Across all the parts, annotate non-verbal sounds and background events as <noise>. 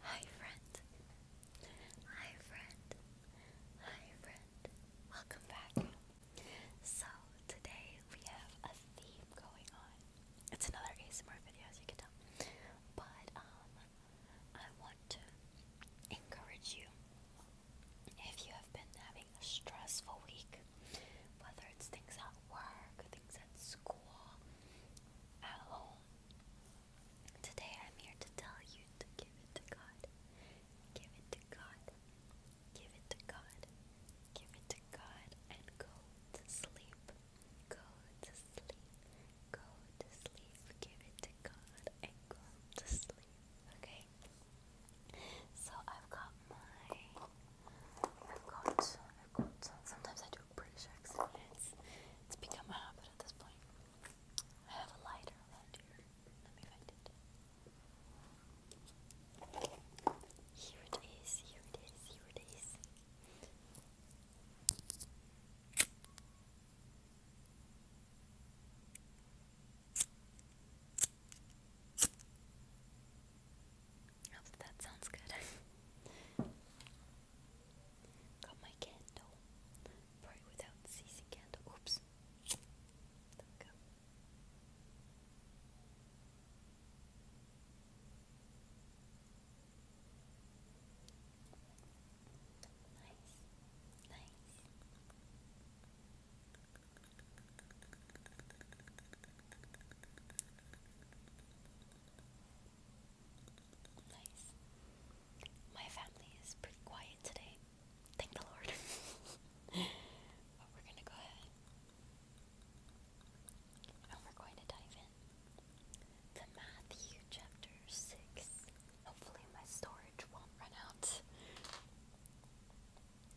Hi friend. Hi friend. Hi friend. Welcome back. So today we have a theme going on. It's another ASMR video as you can tell. But um I want to encourage you if you have been having a stressful week, whether it's things at work, things at school, at home, Today I'm here to tell you to give it to God. Give it to God. Give it to God. Give it to God and go to sleep. Go to sleep. Go to sleep. Give it to God and go to sleep. Okay? So I've got my I've got I've got sometimes I do British accent. It's, it's become a habit at this point. I have a lighter around here. Let me find it. Here it is, here it is, here it is that sounds good. Got my candle. Pray without ceasing candle. Oops. There we go. Nice. Nice. Nice. My family is pretty quiet today. Thank the Lord. <laughs> but we're gonna go ahead and we're going to dive in to Matthew chapter 6. Hopefully, my storage won't run out.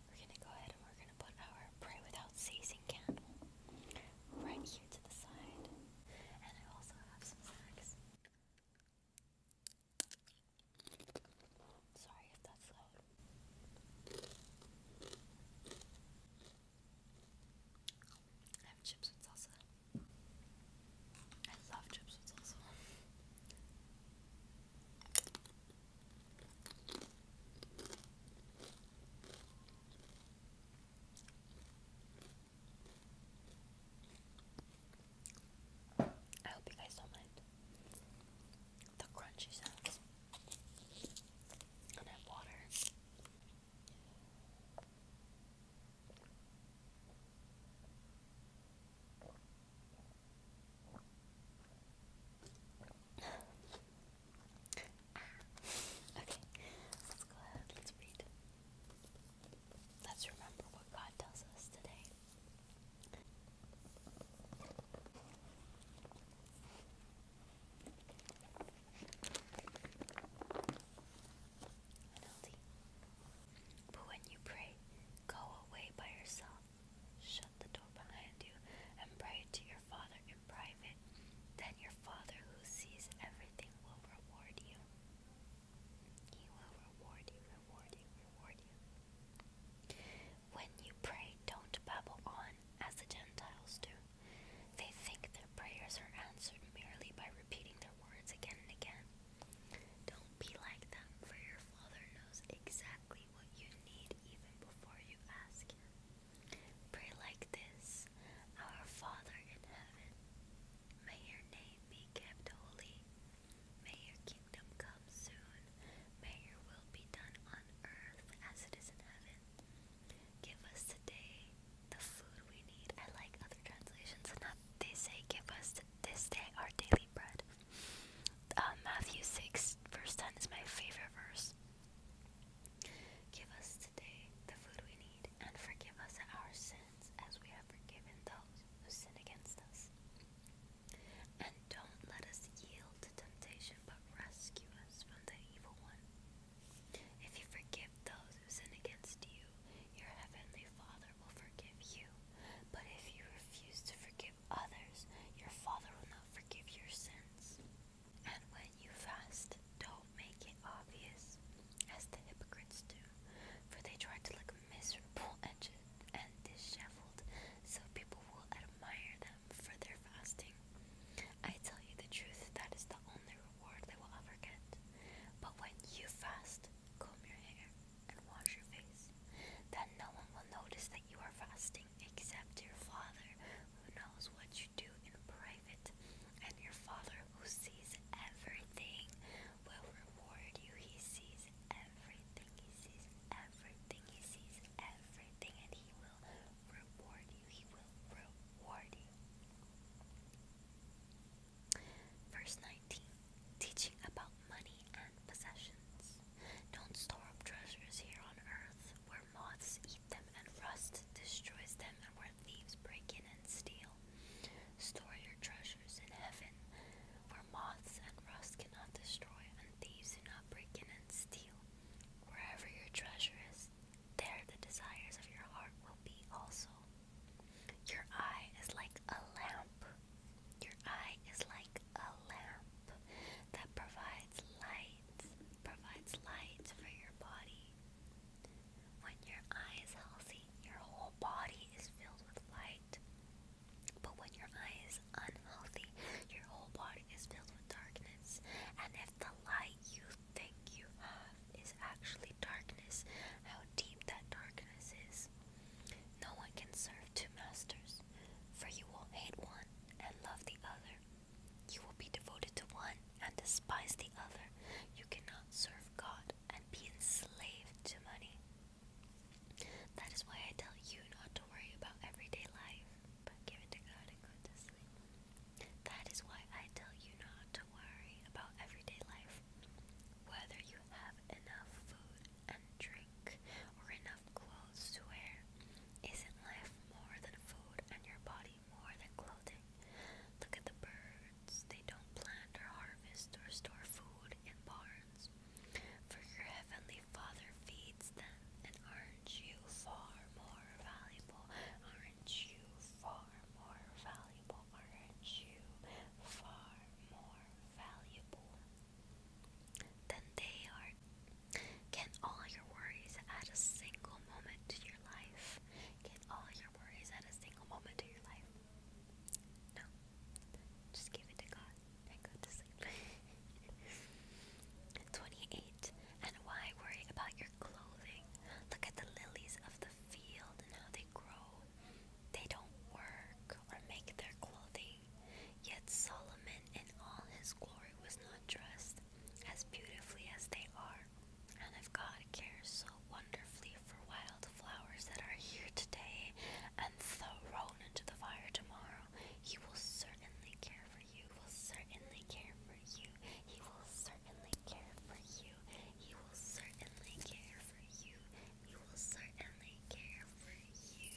We're gonna go ahead we're gonna put our pray without ceasing candle right here to the side. And I also have some snacks. Sorry if that's loud. I have chips with salsa. I love chips with salsa. I hope you guys don't mind the crunchy sounds. And I have water. Ah. Okay, let's go ahead, let's read. Let's remember what God tells us today. But when you pray, go away by yourself Shut the door behind you and pray to your Father in private. Then your Father who sees everything will reward you. He will reward you, reward you, reward you. When you pray, don't babble on as the Gentiles do. They think their prayers are answered merely by repeating their words again and again. Don't be like them, for your Father knows exactly what you need even before you ask Pray like this Our Father in heaven, may your name be kept holy. May your kingdom come soon. May your will be done on earth as it is in heaven. Give us today the food we need. I like other translations They say, Give us this day our daily bread. Uh, Matthew 6, verse 10 is my favorite verse. Give us today the food we need, and forgive us our sins as we have forgiven those who sin against us. And don't let us yield to temptation, but rescue us from the evil one. If you forgive those who sin against you, your heavenly Father will forgive you. But if you refuse to forgive others, your Father will not forgive your sins. And when you fast, don't make it obvious, as the hypocrites do, for they try to look miserable <laughs> and, disheveled, so people will admire them for their fasting. I tell you the truth, that is the only reward they will ever get. But when you fast, comb your hair and wash your face. Then no one will notice that you are fasting except your Father who knows what you do in private, and your Father who sees everything will reward you. He sees everything, He sees everything, He sees everything, and He will reward you. He will reward you. Verse 19 teaching about money and possessions. Don't store up treasures here on earth, where moths eat them and rust destroys them, and where thieves break in and steal. Store your treasures in heaven, where moths and rust cannot destroy, and thieves do not break in and steal. Wherever your treasure is, there the desires of your heart will be also. Your eye is like a lamp. Your eye is like a lamp that provides light, provides light for your body. When your eye is healthy, your whole body is filled with light. But when your eye is unhealthy, your whole body is filled with darkness. And if the light you think you have is actually darkness, how deep that darkness is. No one can serve two masters, for you will hate one and love the other. You will be devoted to one and despise the other. You cannot serve God and be enslaved to money. That is why I tell you not to worry about everyday life, but give it to God and go to sleep. That is why I tell you not to worry about everyday life, whether you have enough food and drink or enough clothes to wear. Isn't life more than food and your body more than clothing? Look at the birds. They don't plant or harvest or store food in barns. For your heavenly Father feeds them, and aren't you far more valuable? Aren't you far more valuable? will earn you far more valuable than they are. Can all your worries add a single moment to your life? Can all your worries add a single moment to your life? No. Just give it to God <laughs> 28. And why worry about your clothing? Look at the lilies of the field and how they grow. They don't work or make their clothing. Yet Solomon in all his glory was not dressed as beautifully as they are. And if God cares so wonderfully for wildflowers that are here today and thrown into the fire tomorrow, He will certainly care for you. He will certainly care for you. He will certainly certainly care for you. He will certainly care for you. He will certainly care for you.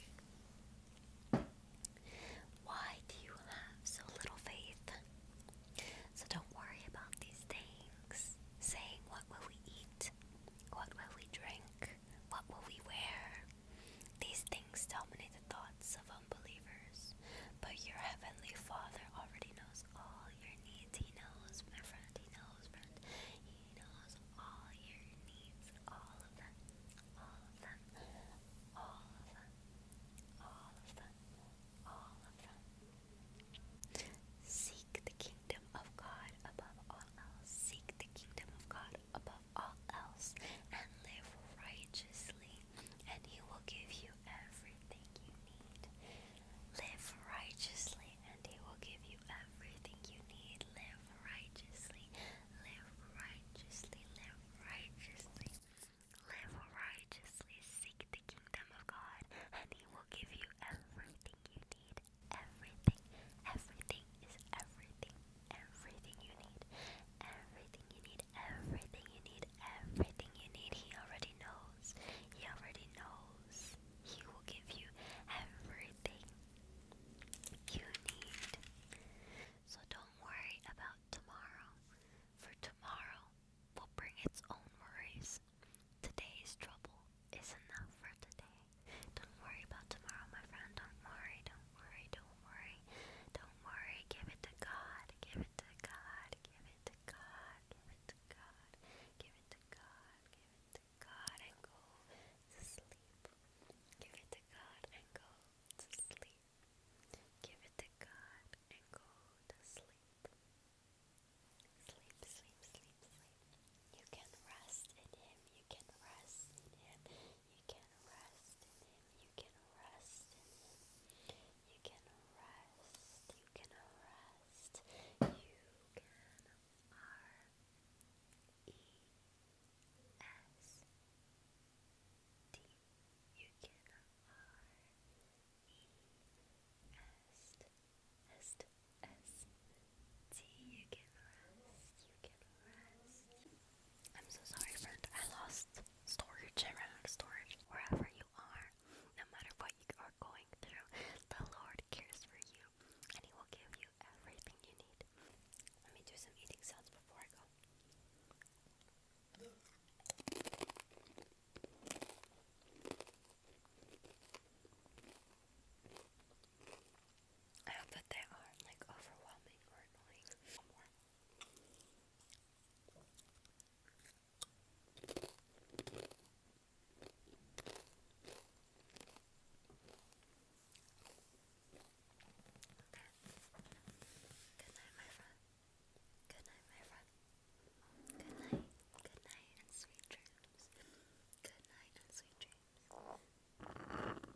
Why do you have so little faith? So don't worry about these things. Saying, What will we eat? What will we drink? What will we wear? These things dominate the thoughts of unbelievers, but your heavenly Father already knows all your needs. He knows, my friend. He knows, friend. He knows all your needs. All of them. All of them. All of them. All of them. All of them. Seek the kingdom of God above all else. Seek the kingdom of God above all else and live righteously and He will give you everything you need. Live righteously, and He will give you everything you need. Live righteously, live righteously, live righteously, live righteously. Seek the kingdom of God, and He will give you everything you need. Everything, everything is everything. Everything you need, everything you need, everything you need, everything you need. He already knows. He already knows. He will give you everything you need. So don't worry about tomorrow, for tomorrow will bring its own worries. Today's trouble is enough for today. Don't worry about tomorrow, my friend. Don't worry, don't worry, don't worry. Don't worry. Give it to God. Give it to God give it to God, give it to God, give it to God, give it to God, and go to sleep. Give it to God and go to sleep. Give it to God and go to sleep. Sleep, sleep, sleep, sleep. You can rest in Him, you can rest in Him, you can rest in Him, you can rest in Him. You can rest. You can rest. You can R E S D. You can R E S D. S, S, T. You can rest. You can rest. I'm so sorry, friend. I lost storage. I ran out of storage. Wherever you are, no matter what you are going through, the Lord cares for you and He will give you everything you need. Let me do some eating sounds before I go. I hope that they aren't like overwhelming or annoying. Good night, my friend. Good night, my friend. Good night, good night, and sweet dreams. Good night, and sweet dreams.